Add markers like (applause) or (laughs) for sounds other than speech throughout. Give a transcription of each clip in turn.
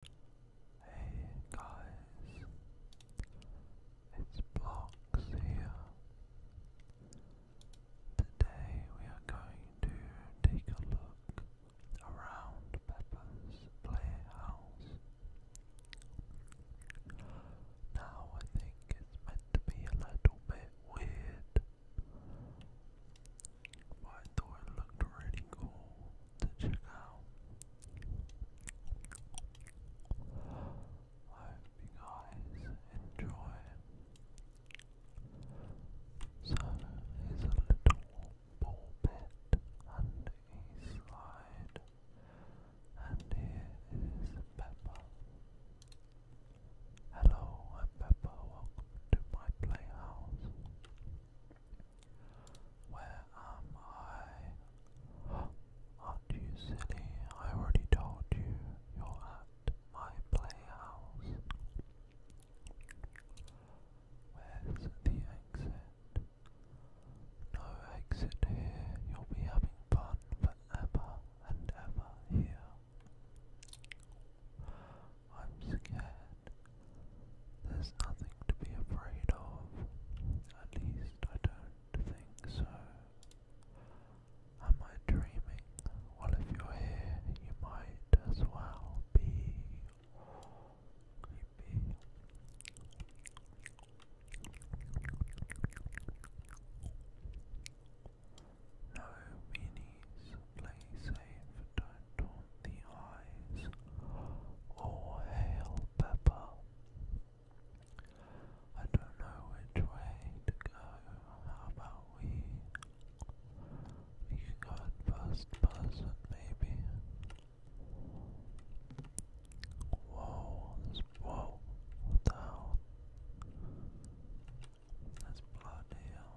Hey guys, it's Blocks here. Today we are going to take a look around Peppa's Playhouse. Now I think it's meant to be a little bit weird, but I thought it looked really cool to check out. hope you guys enjoy. So here's a little ball pit and a slide, and here is Peppa. Hello, I'm Peppa. Welcome to my playhouse. Where am I? Aren't you silly? I already told you you're at my playhouse. Where's the exit? No exit here. You'll be having fun forever and ever here. I'm scared. There's nothing to be afraid of. At least I don't think so. I Am I dreaming? Well, if you're here, you might as well be. Creepy. No meanies. Play safe. do and the eyes. All hail Pepper. I don't know which way to go. How about we? We go first person, maybe. Whoa, whoa, what the hell? There's blood here.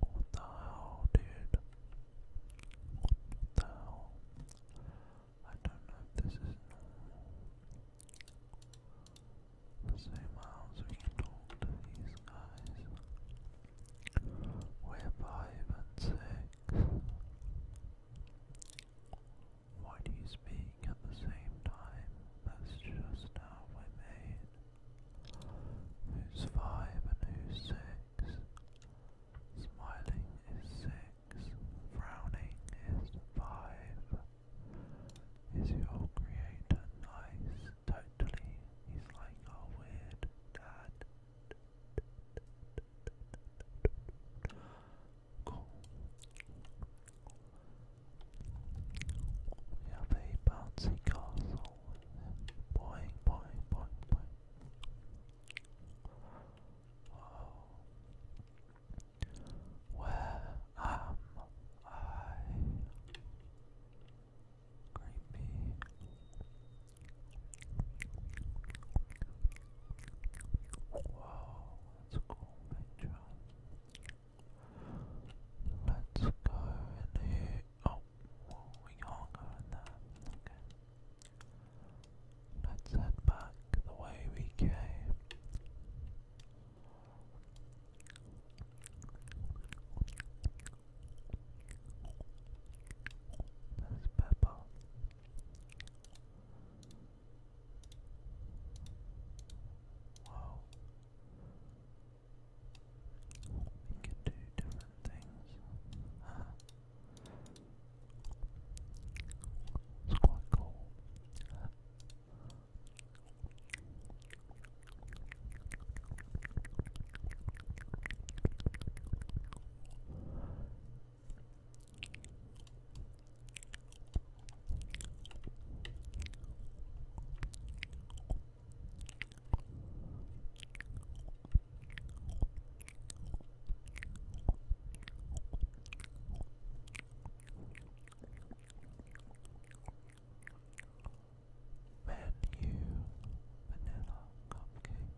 What the hell, dude? What the hell? I don't know this is normal. Let's these guys. We're five and six. Why do you speak at the same time, that's just how we're made. Who's five and who's six? Smiling is six, frowning is five. Is your creator nice? Totally. He's like a weird dad. We have a bouncy castle. Boing, boing, boing, boing. Oh. Where am I? Creepy. Wow, that's cool picture. Let's go in here. Oh, we can't in there. Okay. Let's head back the way we came. There's Pepper. Wow. We can do different things. Uh, it's quite cool. Uh, Menu vanilla cupcake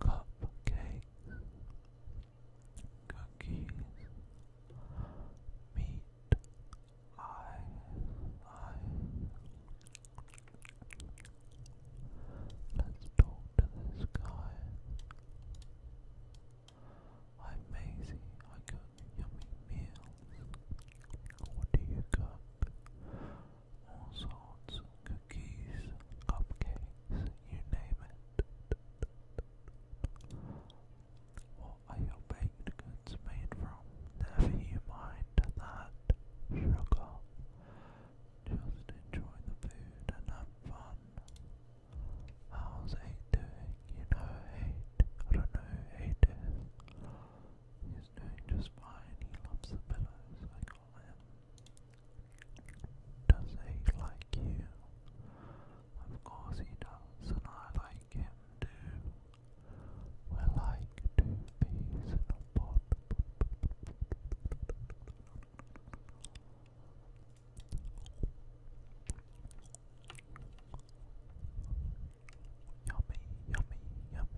cupcakes, cookies, meat, eyes, eyes. Let's talk to this guy. I'm Maisie. I cook yummy meals. What do you cook? all sorts, cookies, cupcakes, you name it. What are your baked goods made from? Never you mind that sugar. Just enjoy the food and have fun. How's eight You know eight. I don't know who He's doing just fine. He loves the pillows. Does he like you? Of course he does, and I like him too. we like two peas in Yummy, yummy, yummy.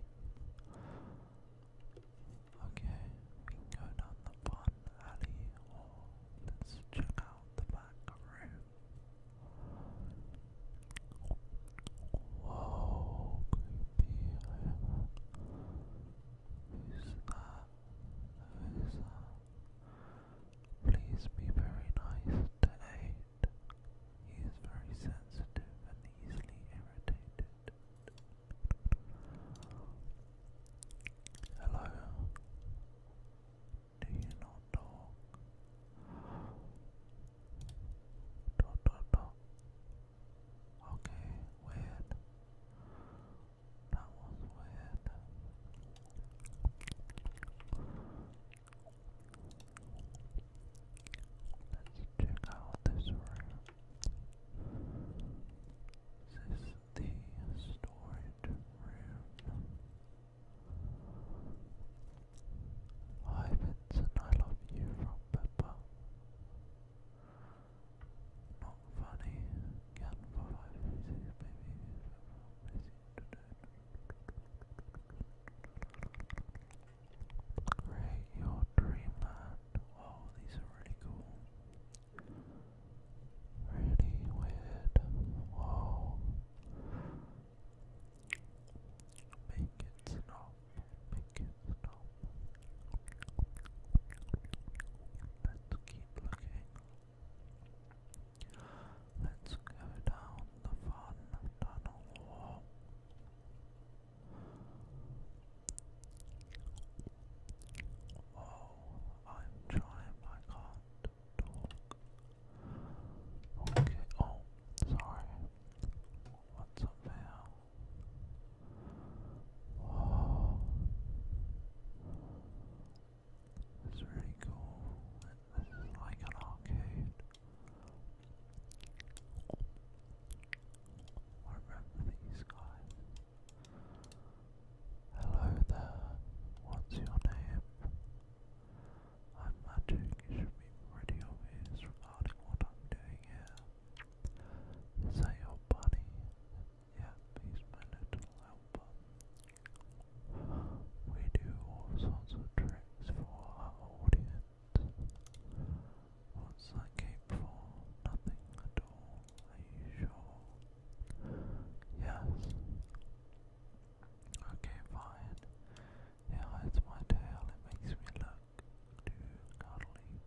Okay, we can go down the fun alley or let's check out the back room. Whoa, creepy. Who's that? Please be very nice to He is very sensitive and easily irritated. Hello. Do you not talk? Dot dot dot. Okay, weird. That was weird. Let's check out this room. This is the storage room. Hi Vincent, I love you from Pepper. Not funny, can for five minutes, maybe if I'm busy Create your dreamland. Wow, these are really cool. Really weird. Wow. Make it stop. Make it stop. Let's keep looking. Let's go down the fun tunnel. Oh, I'm trying, I can't talk. Okay, oh, sorry. What's up now? Oh. It's really cool. This is like an arcade. I remember these guys. Hello there, what's your name? I'm Magic, you should be pretty obvious regarding what I'm doing here. Is that your bunny? Yep, he's my little We do all sorts of tricks for our audience. What's that cape for? Nothing at all. Are you sure? Yes. Okay, fine. It hides my tail. It makes me look too cuddly.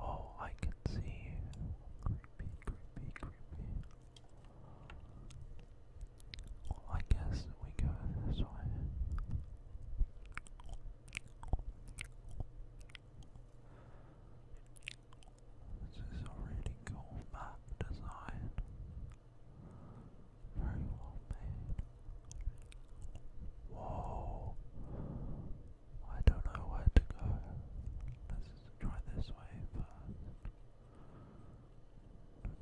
Oh, I can see you. Creepy, creepy, creepy. I guess we go this way. This is a cool map design. Very well made. Whoa. I don't know where to go. Let's try this way first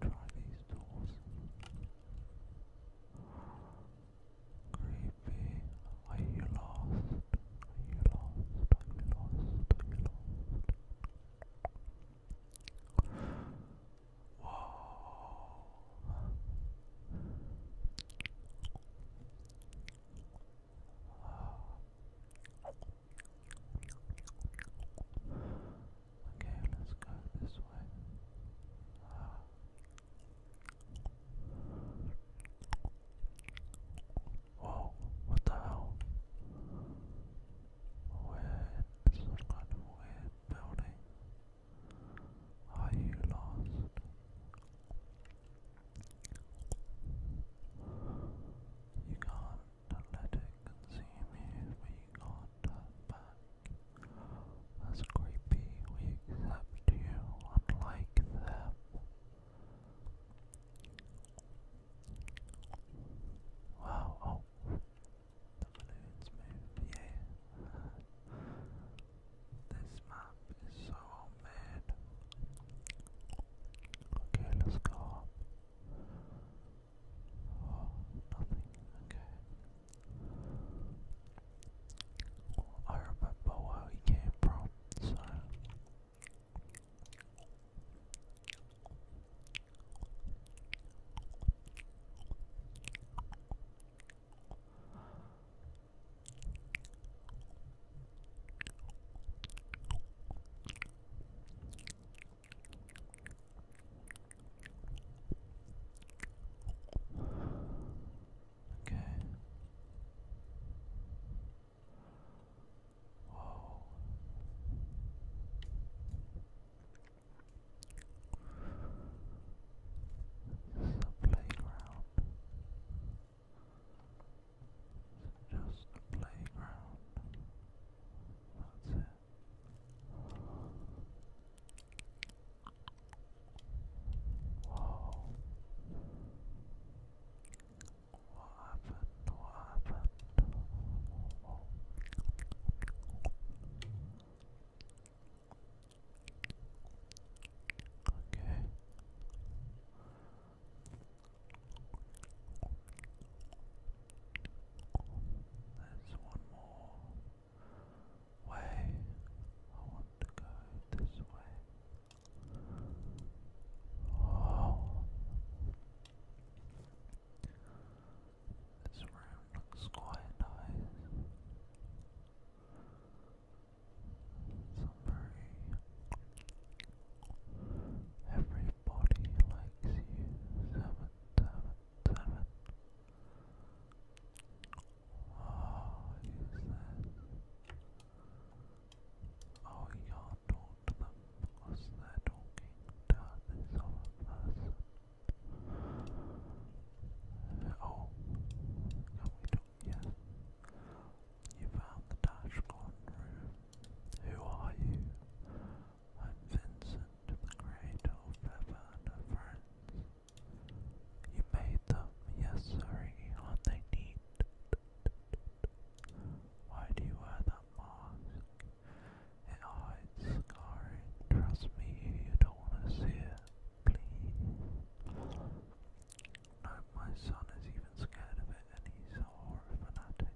to try these tools. Creepy, are you lost? Are you lost? Are you lost? Are you lost? Whoa. Okay, let's go this way. Whoa, what the hell? Weird, some kind of weird building. Are you lost? You can't to let it consume you, we can't turn back. As creepy, we accept you, unlike them. Wow, oh. the balloons move, yeah. this map is so well Okay, let's go Oh, nothing. Okay. I remember where we came from, so. Okay. Whoa. This a playground. Is just a playground? That's it. Whoa. What happened? What happened? Okay. There's one more way. I want to go this way. Oh. This room looks quite nice. Some every Everybody likes you. Seven, seven, seven. Oh, you said. Oh, y'all talk to them because they're talking to this other person. oh, can we talk? Yes. You found the Dashcon room. Who are you? I'm Vincent, the creator of Pepper friends. You made them, yes sorry, are they neat? Why do you wear that mask? It hides scarring, trust me, you don't want to see it, please. No, my son is even scared of it and he's a horror fanatic.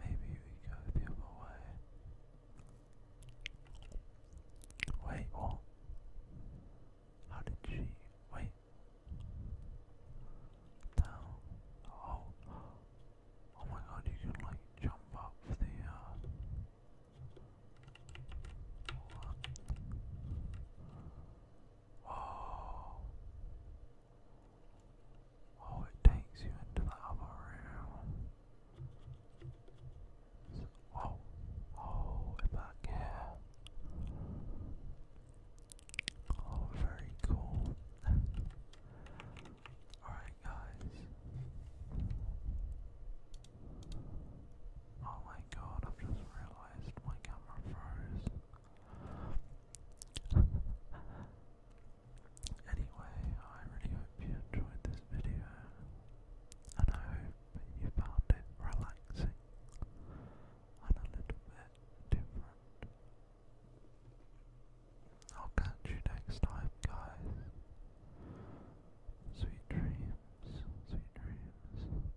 Maybe we go the other way. Wait, what? How did she. Wait. Down. Oh. Oh my god, you can like jump up the. Oh. Oh, it takes you into the other room. oh, oh, we're back Oh, very cool. (laughs) Alright, guys. Oh my god, I've just realized my camera froze. (laughs) Anyway, I really hope you enjoyed this video, and I hope you found it relaxing and a little bit different. I'll catch you next time, guys. Sweet dreams, sweet dreams.